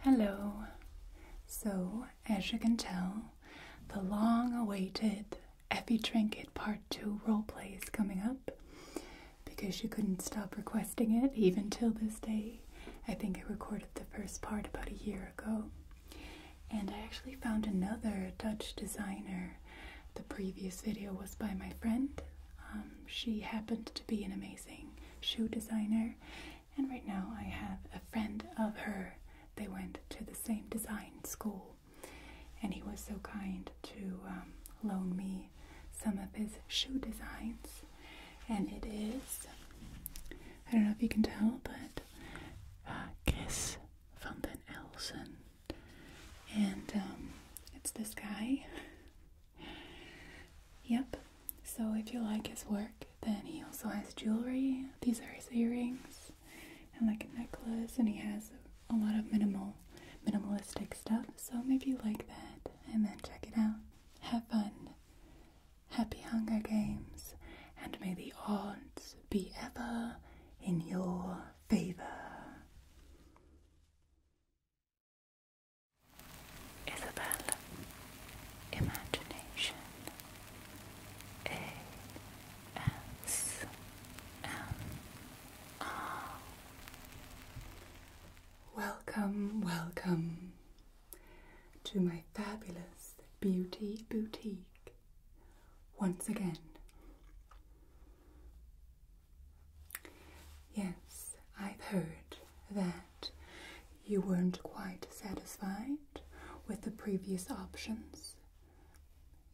Hello. So, as you can tell, the long awaited Effie Trinket Part 2 roleplay is coming up because you couldn't stop requesting it even till this day. I think I recorded the first part about a year ago. And I actually found another Dutch designer. The previous video was by my friend. Um, she happened to be an amazing shoe designer, and right now I have a friend of her. They went to the same design school, and he was so kind to um, loan me some of his shoe designs. And it is, I don't know if you can tell, but uh, Kiss van den Elsen. And um, it's this guy. Yep, so if you like his work, then he also has jewelry. These are his earrings and like a necklace, and he has a lot of minimal, minimalistic stuff. So maybe you like that, and then check it out. Have fun. Happy Hunger Games, and may the odds be ever in your favor. Isabella, Imagination A S M R Welcome, welcome to my fabulous beauty boutique once again. Yes, I've heard that you weren't quite satisfied with the previous options.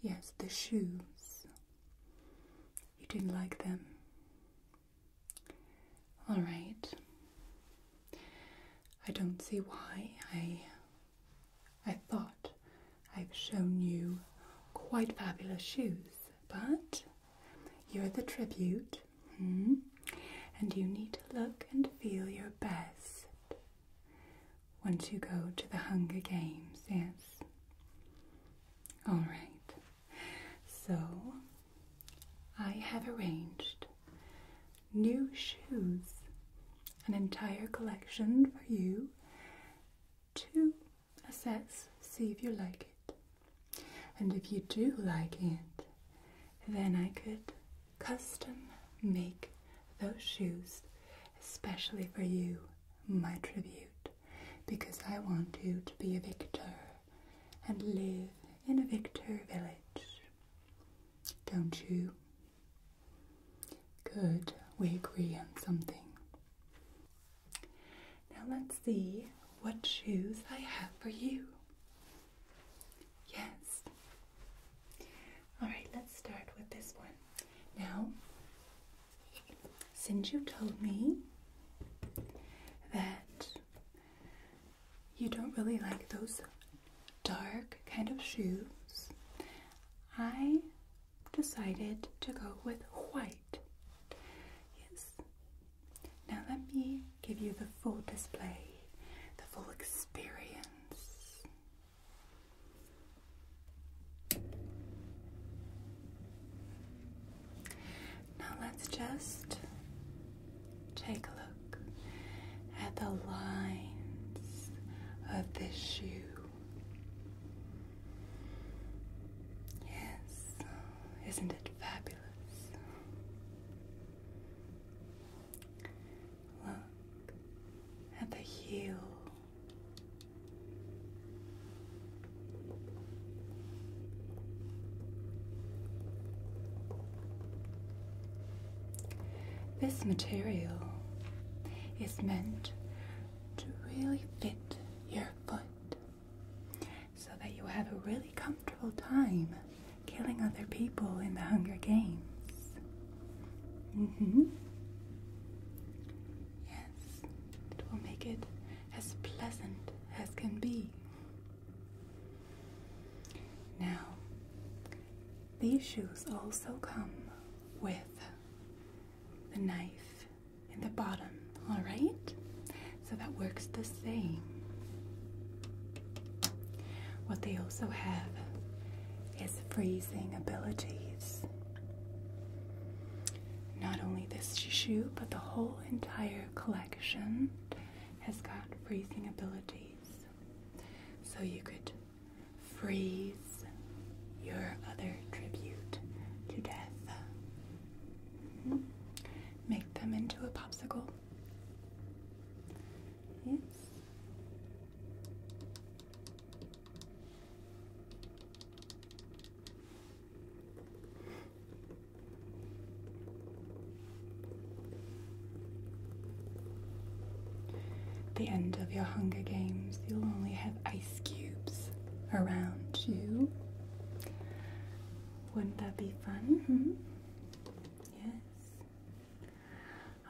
Yes, the shoes. You didn't like them. All right. I don't see why I I thought I've shown you quite fabulous shoes, but you're the tribute, hmm? and you need to look and feel your best once you go to the Hunger Games, yes? Alright, so I have arranged new shoes, an entire collection for you two sets, see if you like it. And if you do like it, then I could custom make those shoes, especially for you, my tribute, because I want you to be a victor and live in a victor village. Don't you? Good, we agree on something. Now let's see what shoes I have for you. Yes. Alright, let's start with this one. Now, since you told me that you don't really like those dark kind of shoes, I decided to go with white. Yes. Now let me give you the full display, the full experience. Now let's just take a look at the lines of this shoe. Yes, isn't it fabulous? Look at the heel. This material is meant to really fit your foot so that you have a really comfortable time killing other people in the Hunger Games. Mm hmm. Yes, it will make it as pleasant as can be. Now, these shoes also come with the knife in the bottom, all right? So that works the same. What they also have is freezing abilities. Not only this shoe, but the whole entire collection has got freezing abilities. So you could freeze your other tribute to death. Make them into a popsicle. The end of your Hunger Games, you'll only have eight cubes around you. Wouldn't that be fun? Hmm? Yes.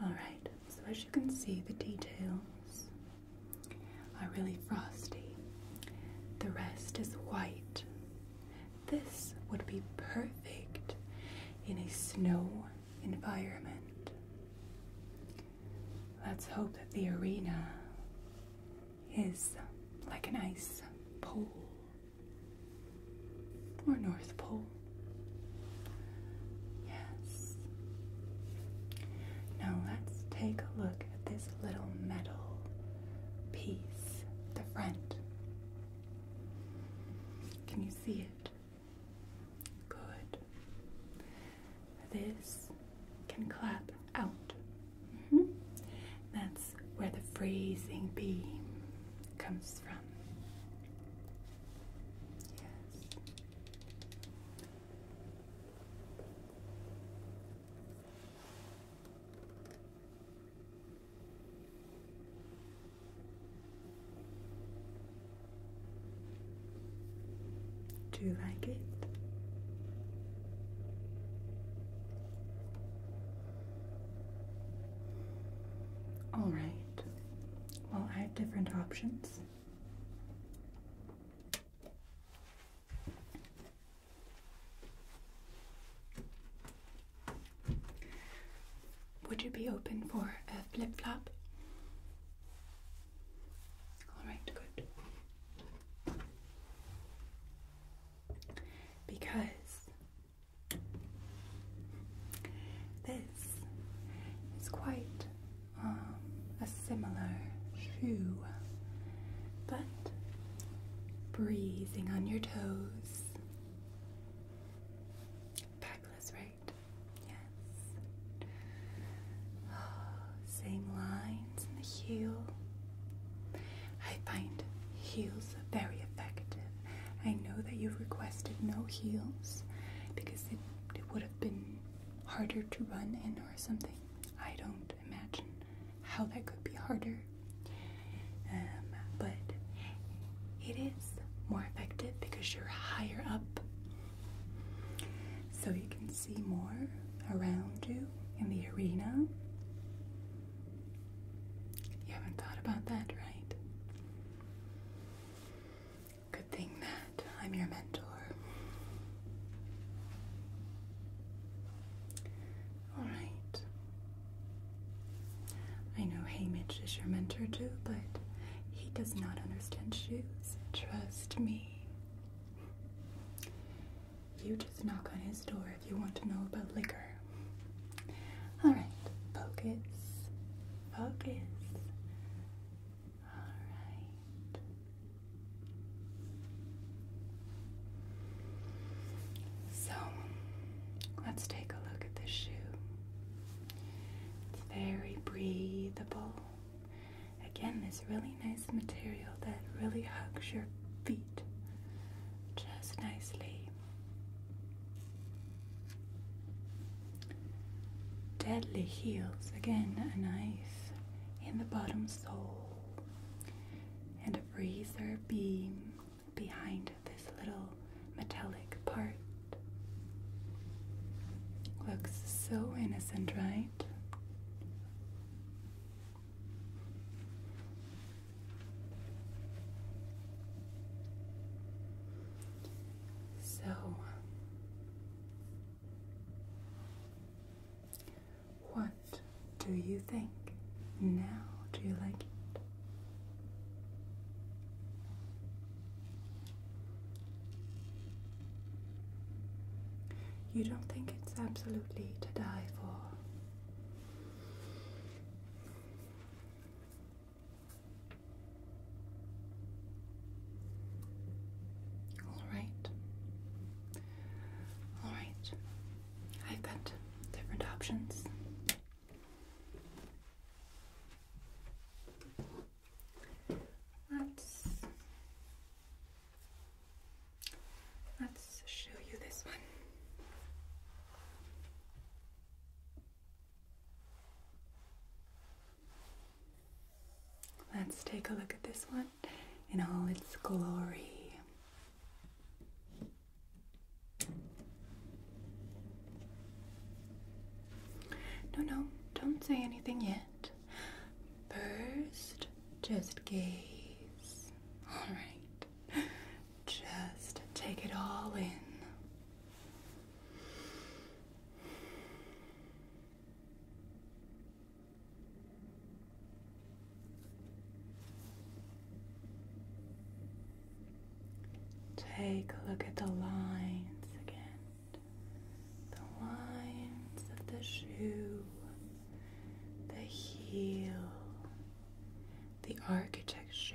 Alright, so as you can see, the details are really frosty. The rest is white. This would be perfect in a snow environment. Let's hope that the arena is like an ice pole or North Pole. Yes. Now let's take a look at this little metal piece, the front. Can you see it? Good. This can clap out. Mm-hmm. That's where the freezing beam comes from. Yes. Do you like it? All right. Well, I have different options. Would you be open for a flip flop? All right, good. Because this is quite um, a similar shoe, but breathing on your toes. Backless, right? Yes. same lines in the heel. I find heels are very effective. I know that you've requested no heels because it, would have been harder to run in or something. I don't imagine how that could be harder. Um, but it is more effective because you're higher up so you can see more around you in the arena. You haven't thought about that, right? Good thing that I'm your mentor. Alright. I know Hamish is your mentor too, but he does not understand shoes. Trust me. You just knock on his door if you want to know about liquor. Alright, focus. Focus. Alright. So, let's take a look at this shoe. It's very breathable. Again, this really nice material that really hugs your feet just nicely. Deadly heels. Again, a knife in the bottom sole and a razor beam behind this little metallic part. Looks so innocent, right? So, what do you think? Now, do you like it? You don't think it's absolutely to die for? All right. All right. I've got different options. Let's let's show you this one. Let's take a look at this one in all its glory. No, no, don't say anything yet. First, just gaze. Alright. Just take it all in. Take a look at the lines again. The lines of the shoe, the heel, the architecture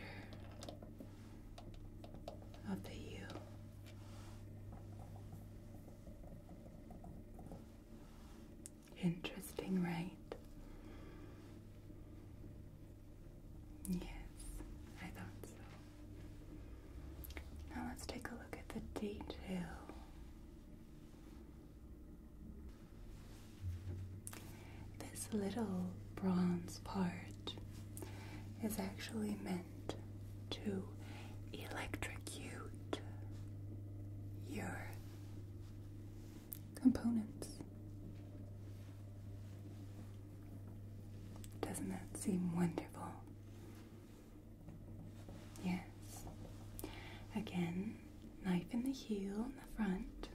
of the heel. Interesting, right? Yes, I thought so. Now let's take a look at the detail. This little bronze part is actually meant to electrocute your components. Doesn't that seem wonderful? Yes. Again, knife in the heel in the front,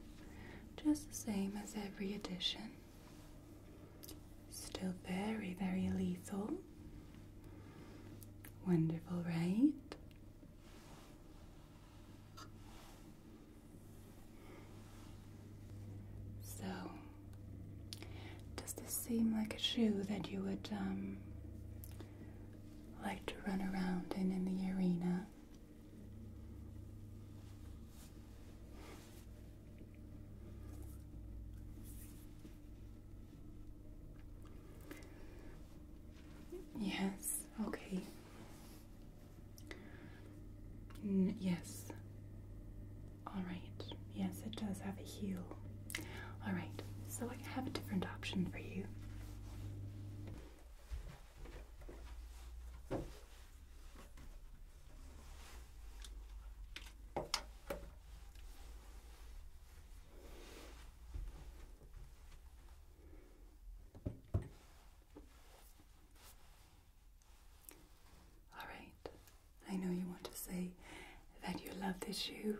just the same as every edition. Still very, very lethal. Wonderful, right? So, does this seem like a shoe that you would um, like to run around in in the arena? Yes, okay yes. Alright. Yes, it does have a heel. Alright, so I have a different option for you. Alright, I know you want to say that you love this shoe,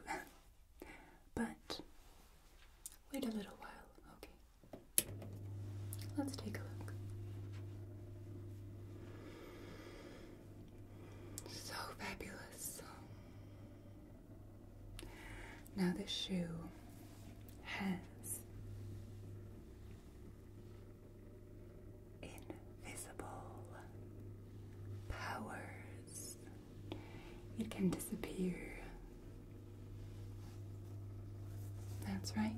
but wait a little while, okay? Let's take a look. So fabulous. Now, this shoe has invisible powers. You can disappear. That's right.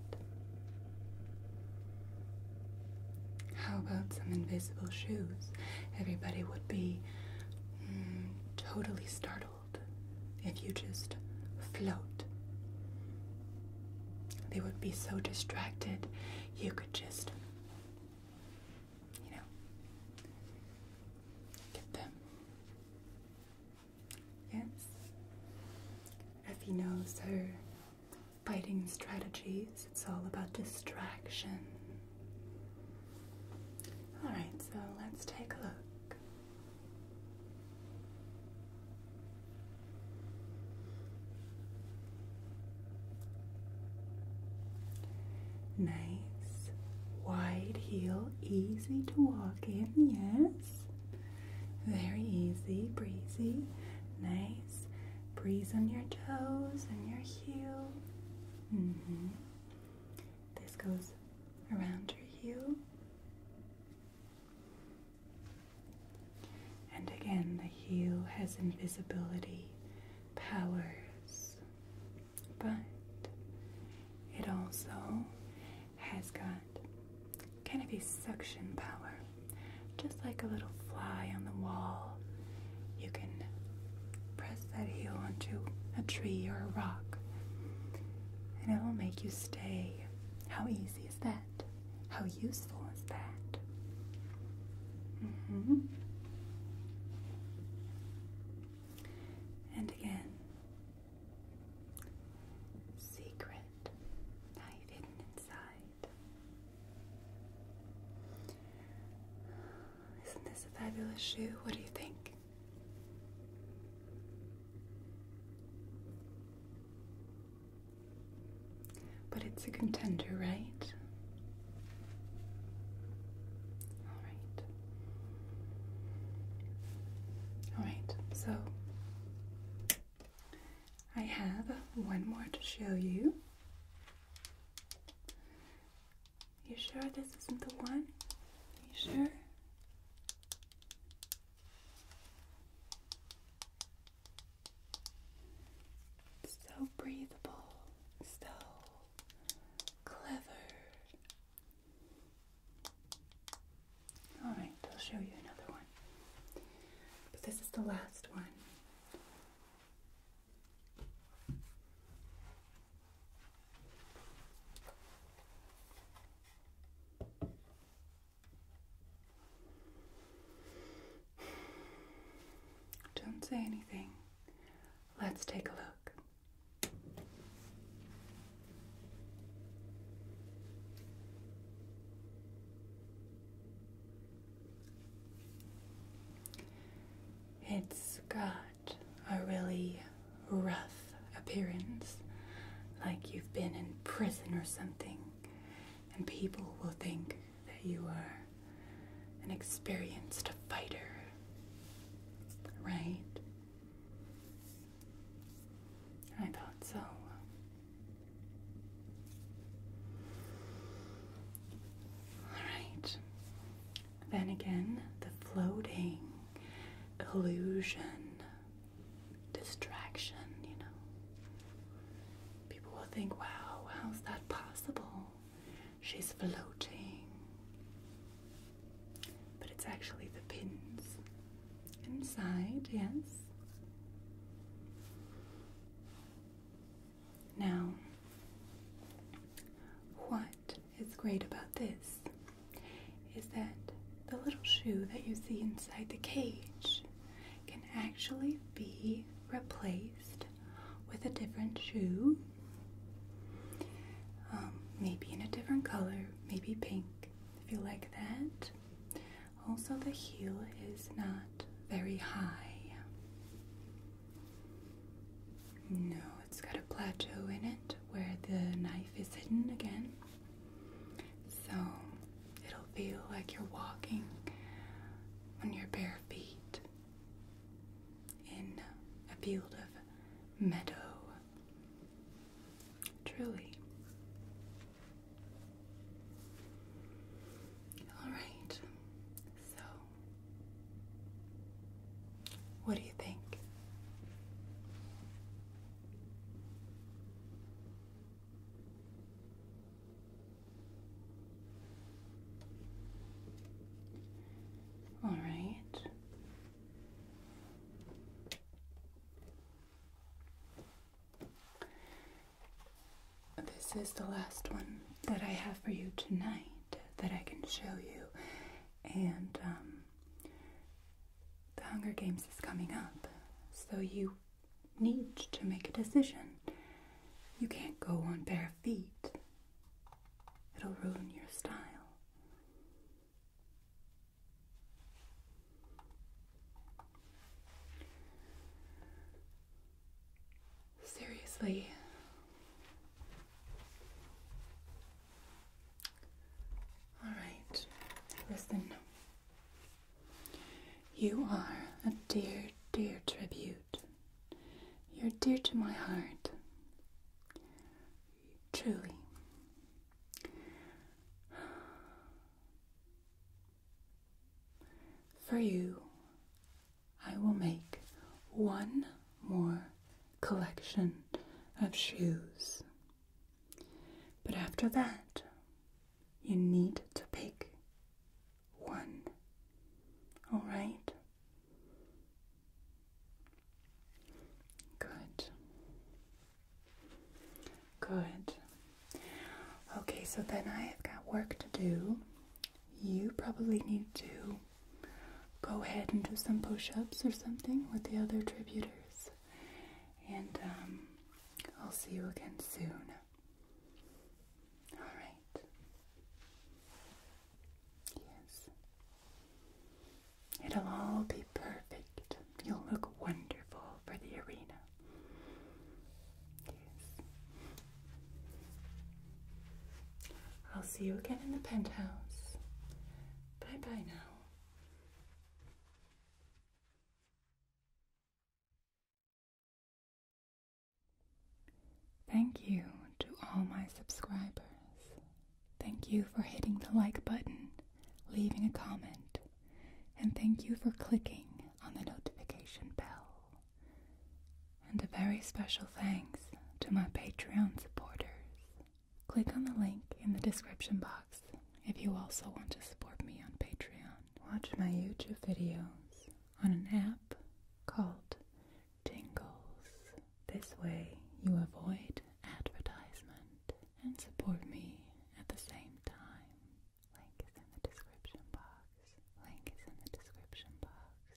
How about some invisible shoes? Everybody would be mm, totally startled if you just float. They would be so distracted, you could just, you know, get them. Yes. Effie knows her fighting strategies, it's all about distraction. Alright, so let's take a look. Nice wide heel, easy to walk in, yes. Very easy, breezy. Nice breeze on your toes and your heel. Mm-hmm. This goes around your heel. And again, the heel has invisibility powers, but it also has got kind of a suction power, just like a little fly on the wall. You can press that heel onto a tree or a rock, and it will make you stay how easy is that? How useful is that? Mm -hmm. And again, secret, night hidden inside. Isn't this a fabulous shoe? What do you think? But it's a contender, right? All right. All right, so I have one more to show you. You sure this isn't the one? you sure? So breathable, so clever. All right, I'll show you another one. But this is the last one. Don't say anything. Let's take a look. It's got a really rough appearance, like you've been in prison or something, and people will think that you are an experienced fighter, right? I thought so. Alright, then again, the floating illusion, distraction, you know. People will think, wow, how's that possible? She's floating. But it's actually the pins inside, yes. Now, what? what is great about this is that the little shoe that you see inside the cage can actually be replaced with a different shoe. Um, maybe in a different color, maybe pink if you like that. Also, the heel is not very high. No, it's got a plateau in it where the knife is hidden again. So it'll feel like you're walking on your bare feet in a field of meadow. Truly. Alright, so what do you think? All right. This is the last one that I have for you tonight that I can show you and um, the Hunger Games is coming up, so you need to make a decision. You can't go on bare feet, it'll ruin your style. Seriously, all right, listen. You are a dear, dear tribute. You're dear to my heart. Truly. For you, I will make one more collection of shoes. But after that, you need to pick one. All right? Good. Good. Okay, so then I have got work to do. You probably need to go ahead and do some push ups or something with the other tributors. And um, I'll see you again soon. All right. Yes. It'll all be perfect. You'll look wonderful for the arena. Yes. I'll see you again in the penthouse. Bye bye now. Thank you to all my subscribers. Thank you for hitting the like button, leaving a comment, and thank you for clicking on the notification bell. And a very special thanks to my Patreon supporters. Click on the link in the description box if you also want to support me on Patreon. Watch my YouTube videos on an app called Tingles. This way you avoid advertisement and support me at the same time. Link is in the description box. Link is in the description box.